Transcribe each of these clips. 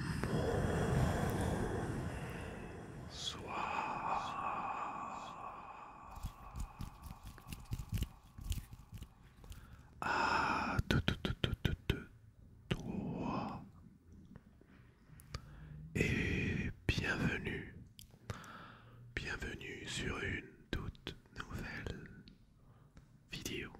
Ah, A tout, Et bienvenue, bienvenue sur une toute nouvelle vidéo.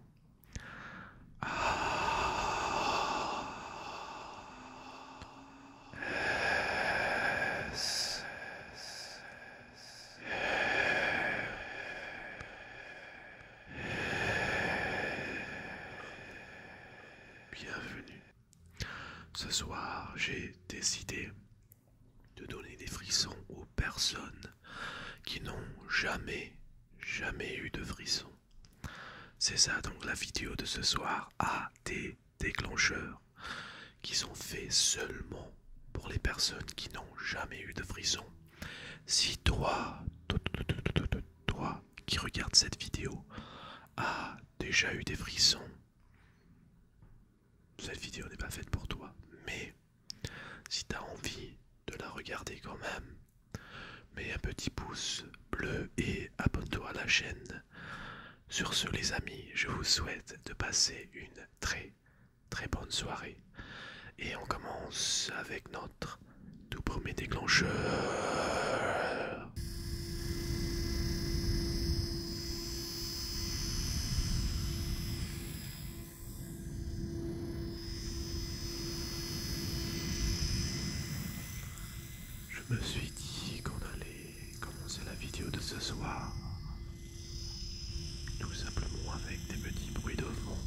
Bienvenue. Ce soir, j'ai décidé de donner des frissons aux personnes qui n'ont jamais, jamais eu de frissons. C'est ça donc la vidéo de ce soir a ah, des déclencheurs qui sont faits seulement pour les personnes qui n'ont jamais eu de frissons. Si toi, toi, qui regarde cette vidéo, a déjà eu des frissons, cette vidéo n'est pas faite pour toi, mais si tu as envie de la regarder quand même, Mets un petit pouce bleu et abonne-toi à la chaîne. Sur ce les amis, je vous souhaite de passer une très très bonne soirée. Et on commence avec notre tout premier déclencheur. Je me suis dit qu'on allait commencer la vidéo de ce soir tout simplement avec des petits bruits de vent.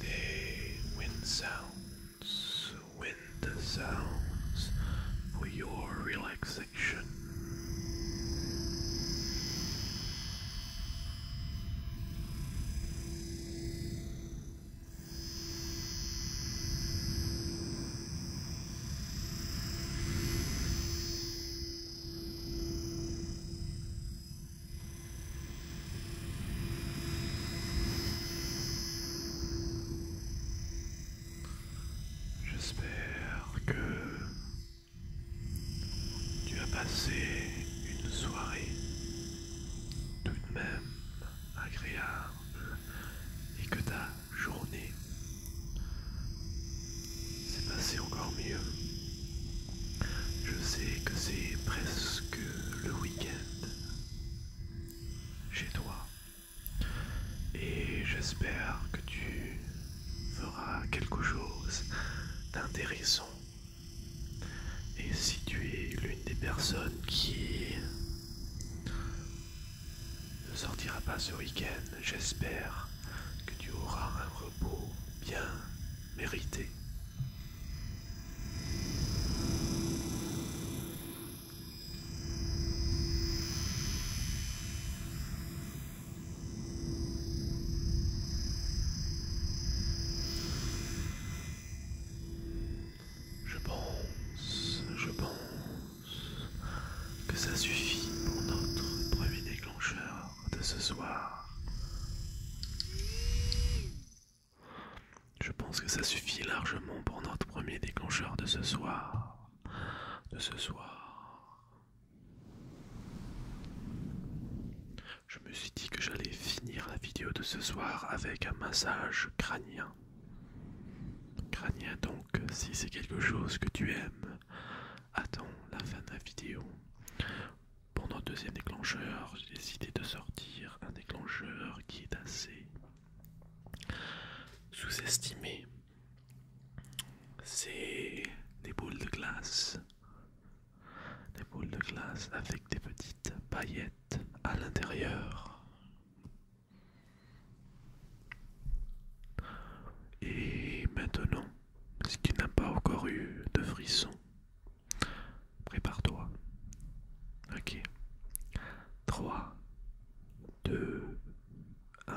The wind sounds, wind sounds for your relaxation. J'espère que tu as passé une soirée tout de même agréable et que ta journée s'est passée encore mieux. Je sais que c'est presque le week-end chez toi et j'espère que tu feras quelque chose d'intéressant. Et si tu es l'une des personnes qui ne sortira pas ce week-end, j'espère que tu auras un repos bien Mérité. Je pense, je pense que ça suffit pour notre premier déclencheur de ce soir. Je pense que ça suffit largement pour notre premier déclencheur de ce soir. De ce soir. Je me suis dit que j'allais finir la vidéo de ce soir avec un massage crânien. Crânien donc, si c'est quelque chose que tu aimes, attends la fin de la vidéo pour notre deuxième déclencheur, j'ai décidé de sortir un déclencheur qui est assez sous-estimé. C'est des boules de glace. Des boules de glace avec des petites paillettes à l'intérieur. Et maintenant, ce qui n'a pas encore eu de frisson, Prépare-toi. Ok. 3, 2, 1.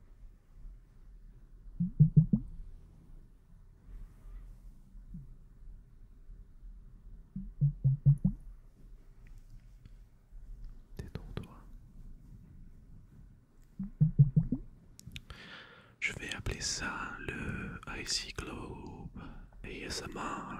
Je vais appeler ça le Icy Globe ASMR.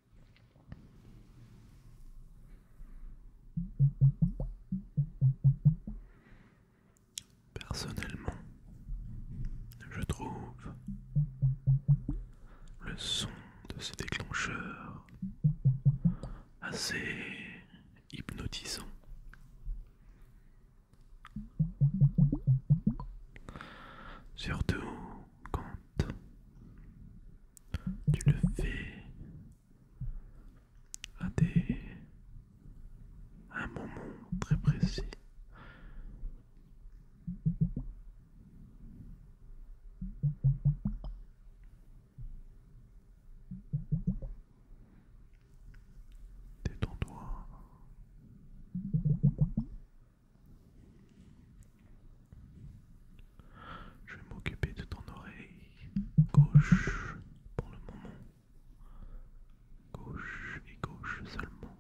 Personnellement, je trouve le son de ce déclencheur assez hypnotisant. Surtout quand tu le fais à, des, un moment très précis. Détends-toi. Je vais m'occuper de ton oreille gauche pour le moment. Gauche et gauche seulement.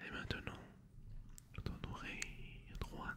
Et maintenant, ton oreille droite.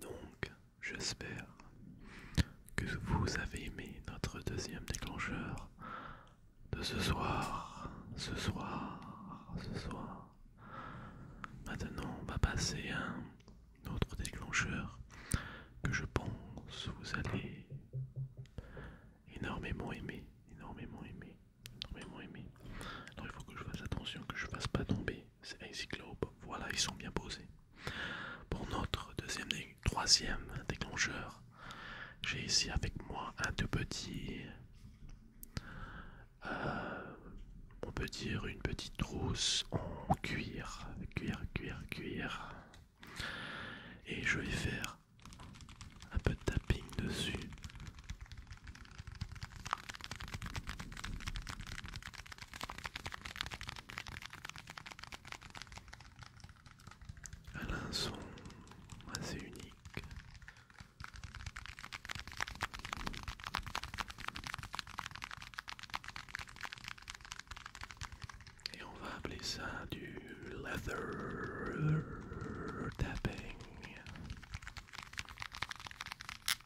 Donc, j'espère que vous avez aimé notre deuxième déclencheur de ce soir, ce soir, ce soir. Maintenant, on va passer à un autre déclencheur que je pense vous allez énormément aimer, énormément aimer, énormément Alors, il faut que je fasse attention, que je ne fasse pas tomber c'est un cyclope. Voilà, ils sont bien posés. Pour notre deuxième troisième déclencheur, j'ai ici avec moi un tout petit. Euh, on peut dire une petite trousse en cuir, cuir, cuir, cuir. Et je vais faire un peu de tapping dessus elle a un son assez unique. Et on va appeler ça du leather tapping.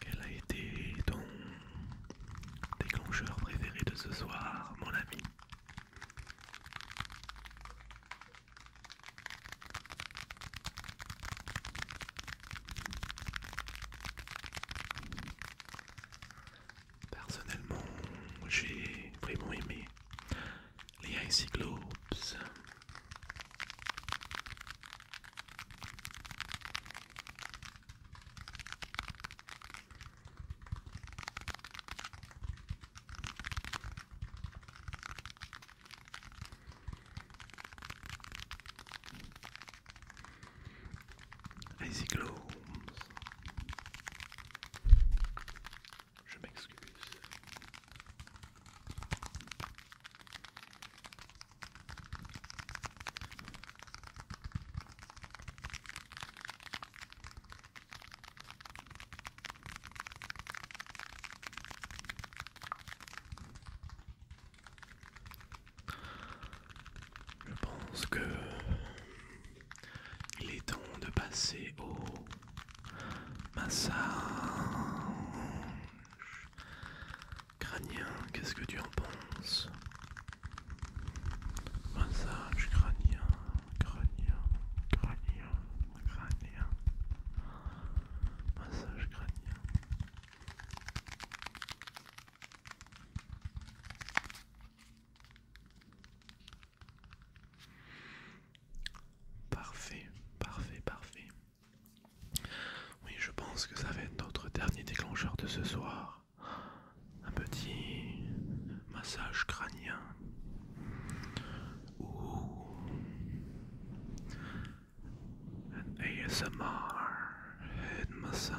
Quel a été ton déclencheur préféré de ce soir, mon ami Personnellement, j'ai vraiment aimé les Icy Globes. Icy Je m'excuse. Je pense que il est temps de passer au massage crânien. Qu'est-ce que tu en penses Massage crânien, crânien, crânien, crânien massage crânien. Parfait, parfait, parfait. Oui, je pense que ça va être notre dernier déclencheur de ce soir. Un petit massage crânien. Ooh. An ASMR head massage.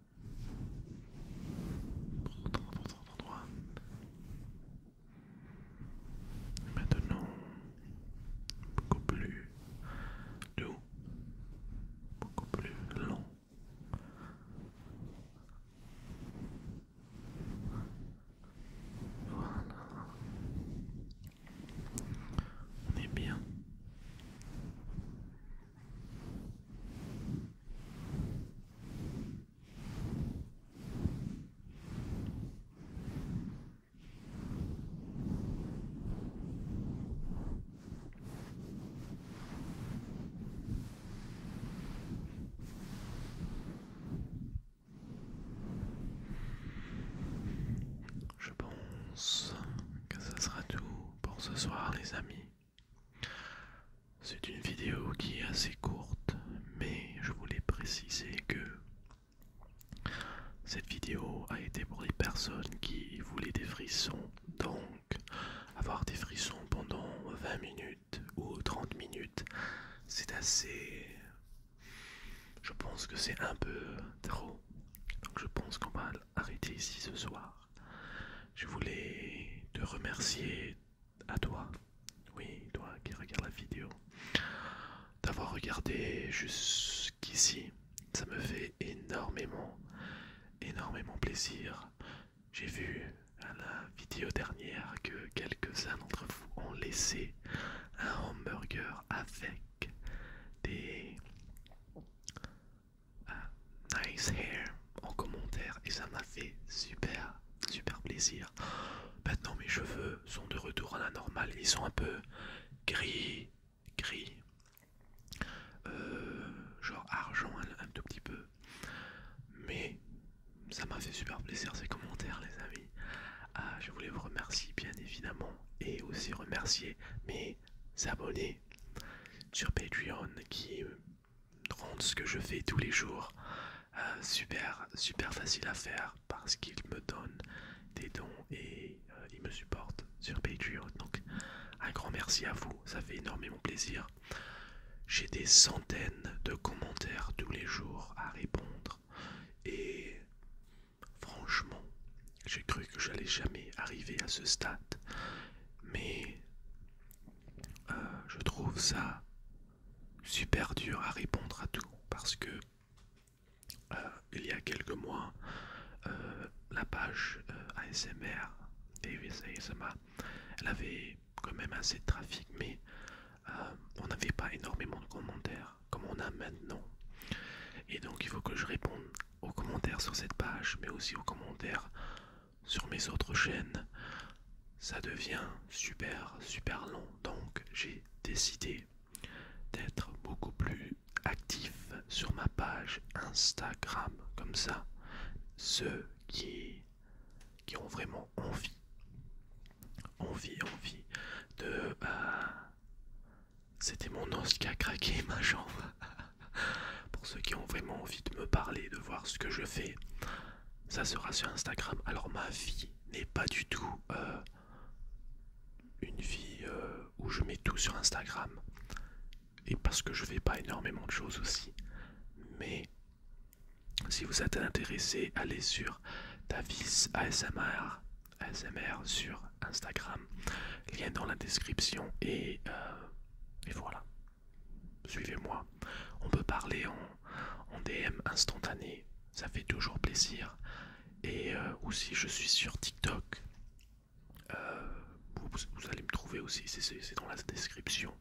Maintenant, beaucoup plus doux, beaucoup plus long. Voilà. On est bien. Je pense que ça sera tout pour ce soir les amis. C'est une vidéo qui est assez courte, mais je voulais préciser que cette vidéo a été pour les personnes qui voulaient des frissons. Donc, avoir des frissons pendant 20 minutes ou 30 minutes, c'est assez... Je pense que c'est un peu trop. Donc je pense qu'on va arrêter ici ce soir. Je voulais te remercier à toi, oui, toi qui regarde la vidéo, d'avoir regardé jusqu'ici. Ça me fait énormément, énormément plaisir. J'ai vu à la vidéo dernière que quelques-uns d'entre vous ont laissé un hamburger avec des nice hair en commentaire et ça m'a fait super super plaisir. Maintenant mes cheveux sont de retour à la normale, ils sont un peu gris, gris, euh, genre argent un, tout petit peu. Mais ça m'a fait super plaisir ces commentaires les amis. Ah, je voulais vous remercier bien évidemment et aussi remercier mes abonnés sur Patreon qui rendre ce que je fais tous les jours euh, super super facile à faire parce qu'il me donne des dons et euh, il me supporte sur Patreon. Donc un grand merci à vous, ça fait énormément plaisir. J'ai des centaines de commentaires tous les jours à répondre et franchement, j'ai cru que j'allais jamais arriver à ce stade, mais euh, je trouve ça super dur à répondre à tout parce que euh, il y a quelques mois euh, la page ASMR elle avait quand même assez de trafic mais on n'avait pas énormément de commentaires comme on a maintenant et donc il faut que je réponde aux commentaires sur cette page mais aussi aux commentaires sur mes autres chaînes, ça devient super super long. Donc j'ai décidé d'être beaucoup plus actif sur ma page Instagram comme ça. Ceux qui, qui ont vraiment envie, envie, envie de... Euh, c'était mon os qui a craqué ma jambe. Pour ceux qui ont vraiment envie de me parler, de voir ce que je fais, ça sera sur Instagram. Alors ma vie n'est pas du tout euh, une vie euh, où je mets tout sur Instagram. Et parce que je fais pas énormément de choses aussi. Mais si vous êtes intéressé, allez sur Davis ASMR, ASMR sur Instagram. Lien dans la description et, euh, et voilà suivez-moi. On peut parler en, DM instantané, ça fait toujours plaisir. Et euh, aussi, je suis sur TikTok. Euh, vous, allez me trouver aussi, c'est dans la description.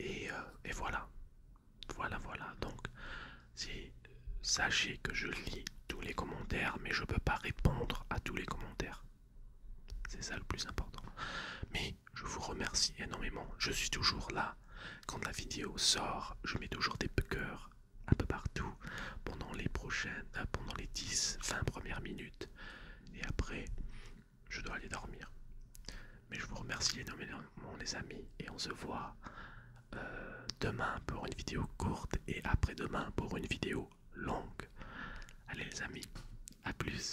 Euh, et, voilà, voilà, voilà. Donc, sachez que je lis tous les commentaires, mais je ne peux pas répondre à tous les commentaires. C'est ça le plus important. Mais je vous remercie énormément. Je suis toujours là. Quand la vidéo sort, je mets toujours des cœurs un peu partout pendant les prochaines, euh, pendant les 10-20 premières minutes. Et après, je dois aller dormir. Mais je vous remercie énormément les amis et on se voit euh, demain pour une vidéo courte et après-demain pour une vidéo longue. Allez les amis, à plus